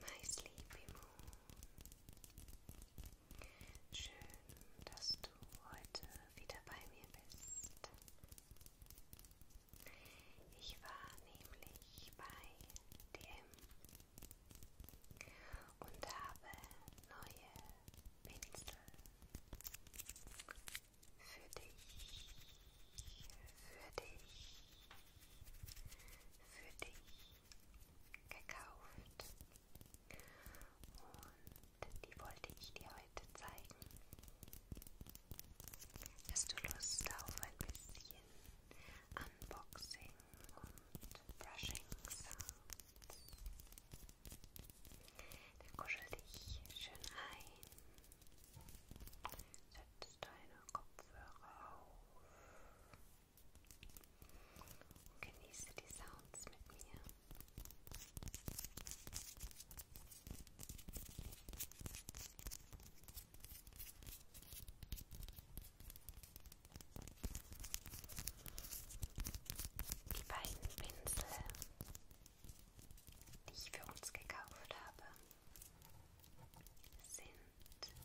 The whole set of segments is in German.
My Sleepy Moon. Schön, dass du heute wieder bei mir bist. Ich war nämlich bei dem und habe neue Pinsel für dich, für dich, für dich gekauft. Und die wollte ich dir heute zeigen. Hast du Lust auf ein bisschen Unboxing? und brushing sounds. Dann kuschel dich schön ein. Setz deine Kopfhörer auf. genieße die Sounds mit mir. Die beiden Pinsel, die ich für uns gekauft habe, sind diese hier.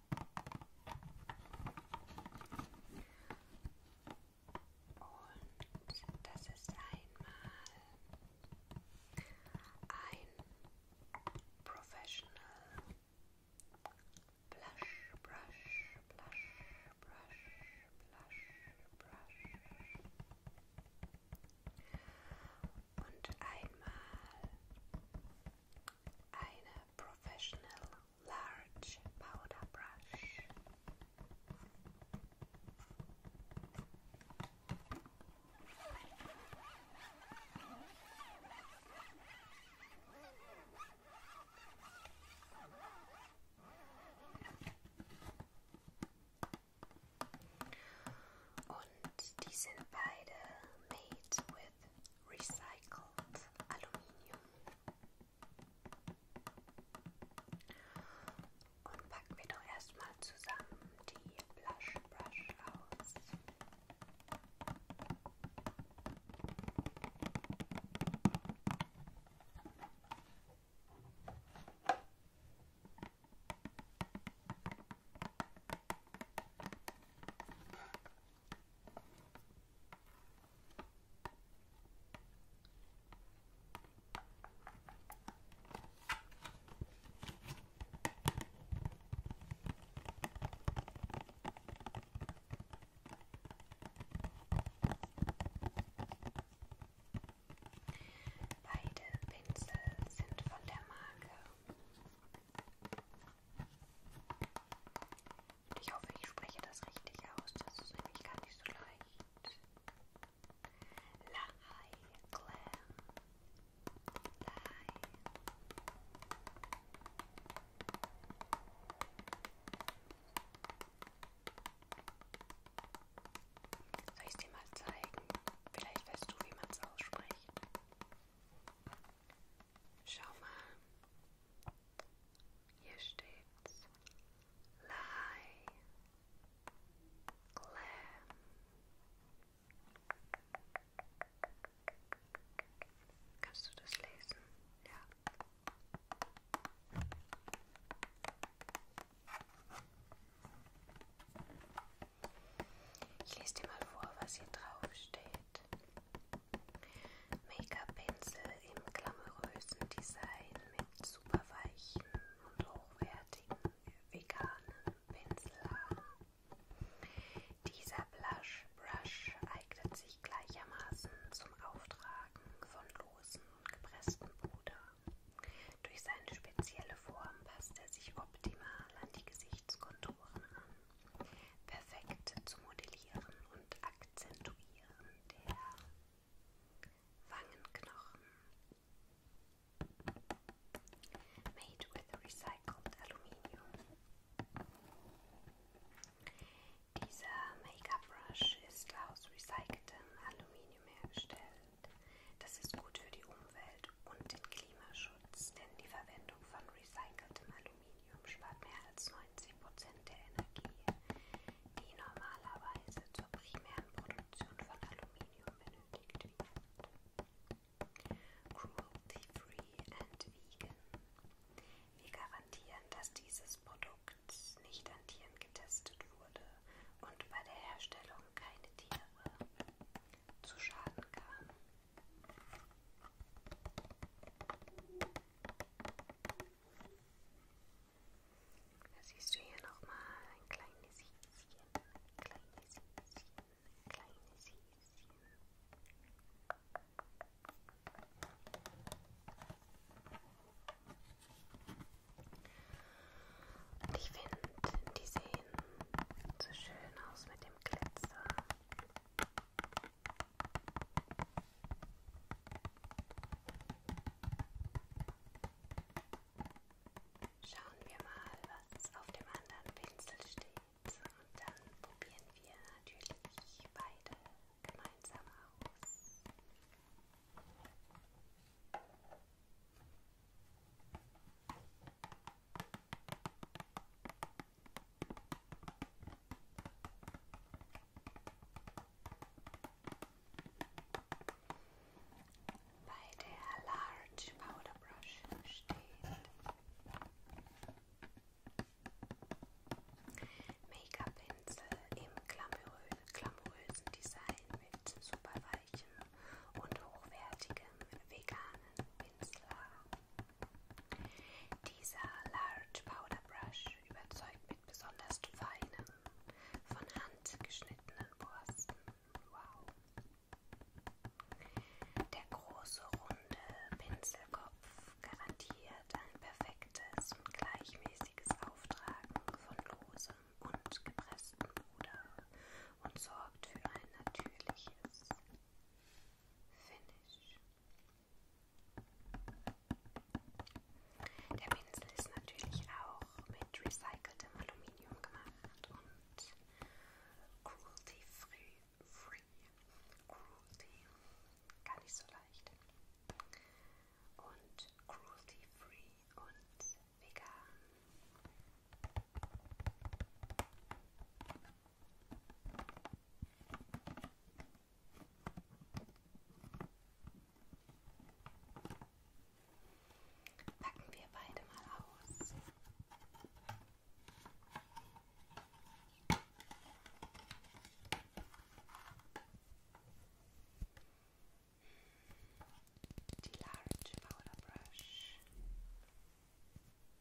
Und das ist einmal ein Professional Blush, Brush, Blush, Brush, Blush, Brush. Und einmal A professional large powder brush. Und die sind made with Recycled Aluminium und packen wir doch erstmal zusammen die Blush Brush aus. Beide Pinsel sind von der Marke und ich hoffe, ich spreche das richtig aus. Das ist nämlich gar nicht so leicht. Lahai Glam. Lahai. Soll ich es dir mal zeigen? Vielleicht weißt du, wie man es ausspricht. Schau mal. Hier steht's. Lie. Glam. Kannst du das lesen? Ja. Ich lese dir mal vor, was hier drauf steht. Make-up-Pinsel im glamourösen Design mit super weichen und hochwertigen veganen Pinselhaaren. Dieser Blush Brush eignet sich gleichermaßen zum Auftragen von losen und gepresstem Puder. Durch seine spezielle Form passt er sich optimal an die Gesichtskonturen an perfekt zu modellieren und akzentuieren der Wangenknochen. Made with recycled aluminium. Dieser Make-up Brush ist aus recyceltem Aluminium hergestellt. Das ist gut für die Umwelt und den Klimaschutz, denn die Verwendung von recyceltem Aluminium Aluminium spart mehr als 90 Prozent der Energie, die normalerweise zur primären Produktion von Aluminium benötigt wird. Cruelty-free and vegan. Wir garantieren, dass dieses Produkt nicht an Tieren getestet wurde und bei der Herstellung keine Tiere zu Schaden kamen. Da siehst du hier nochmal ein kleines Häschen, kleines Häschen, kleines Häschen. Und ich finde, die sehen so schön aus mit dem Glitzer. Schauen wir mal, was auf dem anderen Pinsel steht. Und dann probieren wir natürlich beide gemeinsam aus. Bei der Large Powder Brush steht Make-up-Pinsel im glamourö glamourösen Design mit super weichem und hochwertigem veganen Pinsel. Dieser Large Powder Brush überzeugt mit besonders feinen, von Hand geschnittenen Borsten. Wow. Der große, runde Pinselkopf garantiert ein perfektes und gleichmäßiges Auftragen von losem und gepresstem Puder und sorgt für ein natürliches, Finish. Der Pinsel ist natürlich auch mit recyceltem Aluminium gemacht und cruelty free. free. Cruelty gar nicht so leicht. Und cruelty free und vegan. Packen wir beide mal aus. Die Large Powder Brush.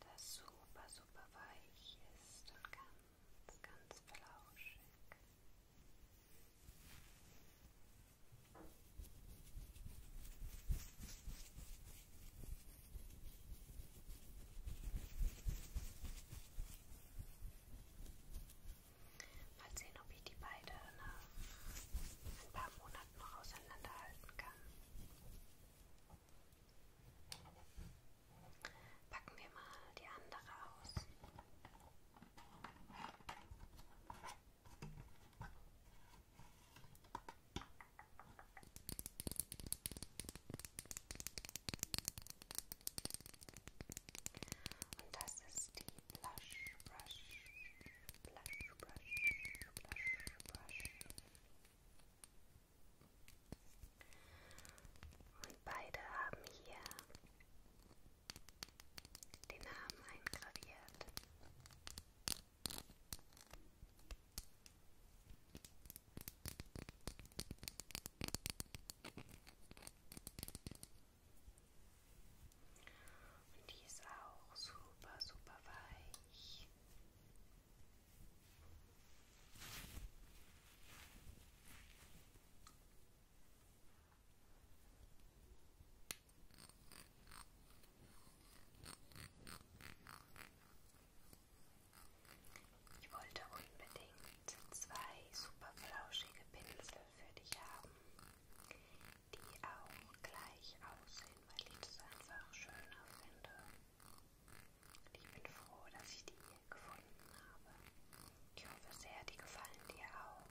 das super, super weich ist und ganz, ganz flauschig. Mal sehen, ob ich die beide nach ein paar Monaten noch auseinanderhalten kann. Packen wir mal die andere aus. Und das ist die Blush Brush, Blush Brush, Blush Brush. Und beide haben hier den Namen eingraviert. Und die ist auch super, super weich. Ich wollte unbedingt zwei super flauschige Pinsel für dich haben, die auch gleich aussehen, weil ich das einfach schöner finde. Ich bin froh, dass ich die hier gefunden habe. Ich hoffe sehr, die gefallen dir auch.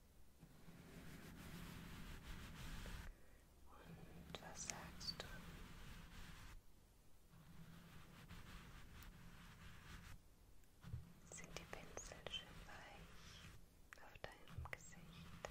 Und was sagst du? Sind die Pinsel schön weich auf deinem Gesicht?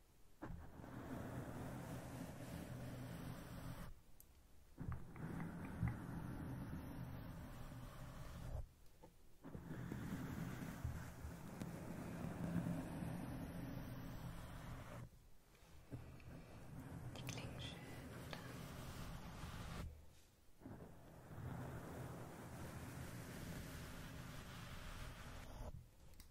Die klingen schön, oder?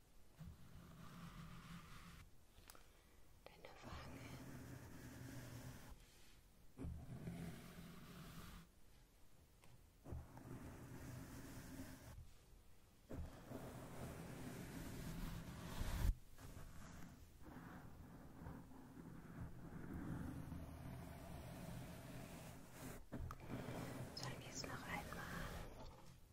deine Wangen. Sollen wir es noch einmal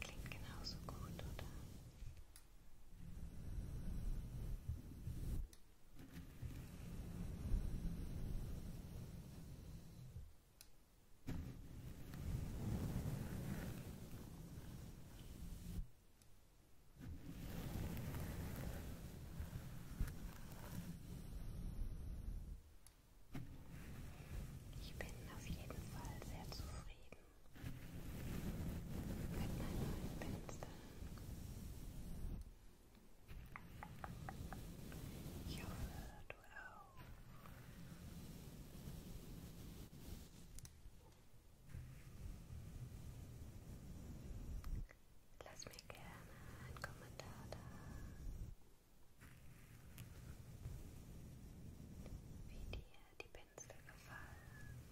Klingt genauso gut, oder? Jetzt ich bin auf jeden Fall sehr zufrieden mit meinem neuen Pinsel. Ich hoffe, du auch. Lass mir gerne einen Kommentar da. Wie dir die Pinsel gefallen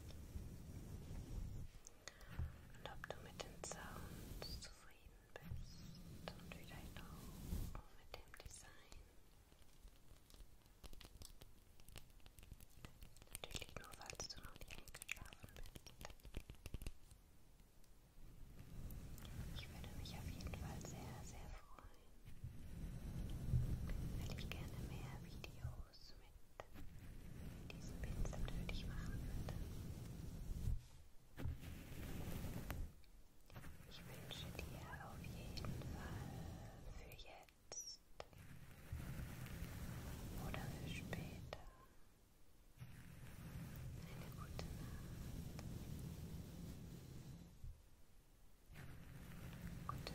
und ob du mit den Sounds zufrieden bist und vielleicht auch mit dem Design. Natürlich nur, falls du noch nicht eingeschlafen bist. Ich würde mich auf jeden Fall sehr, sehr freuen, weil ich gerne mehr Videos mit diesem Pinsel für dich machen würde. Ich wünsche dir auf jeden Fall für jetzt jetzt oder für später. Eine gute Nacht. Gute Nacht. Gute Nacht.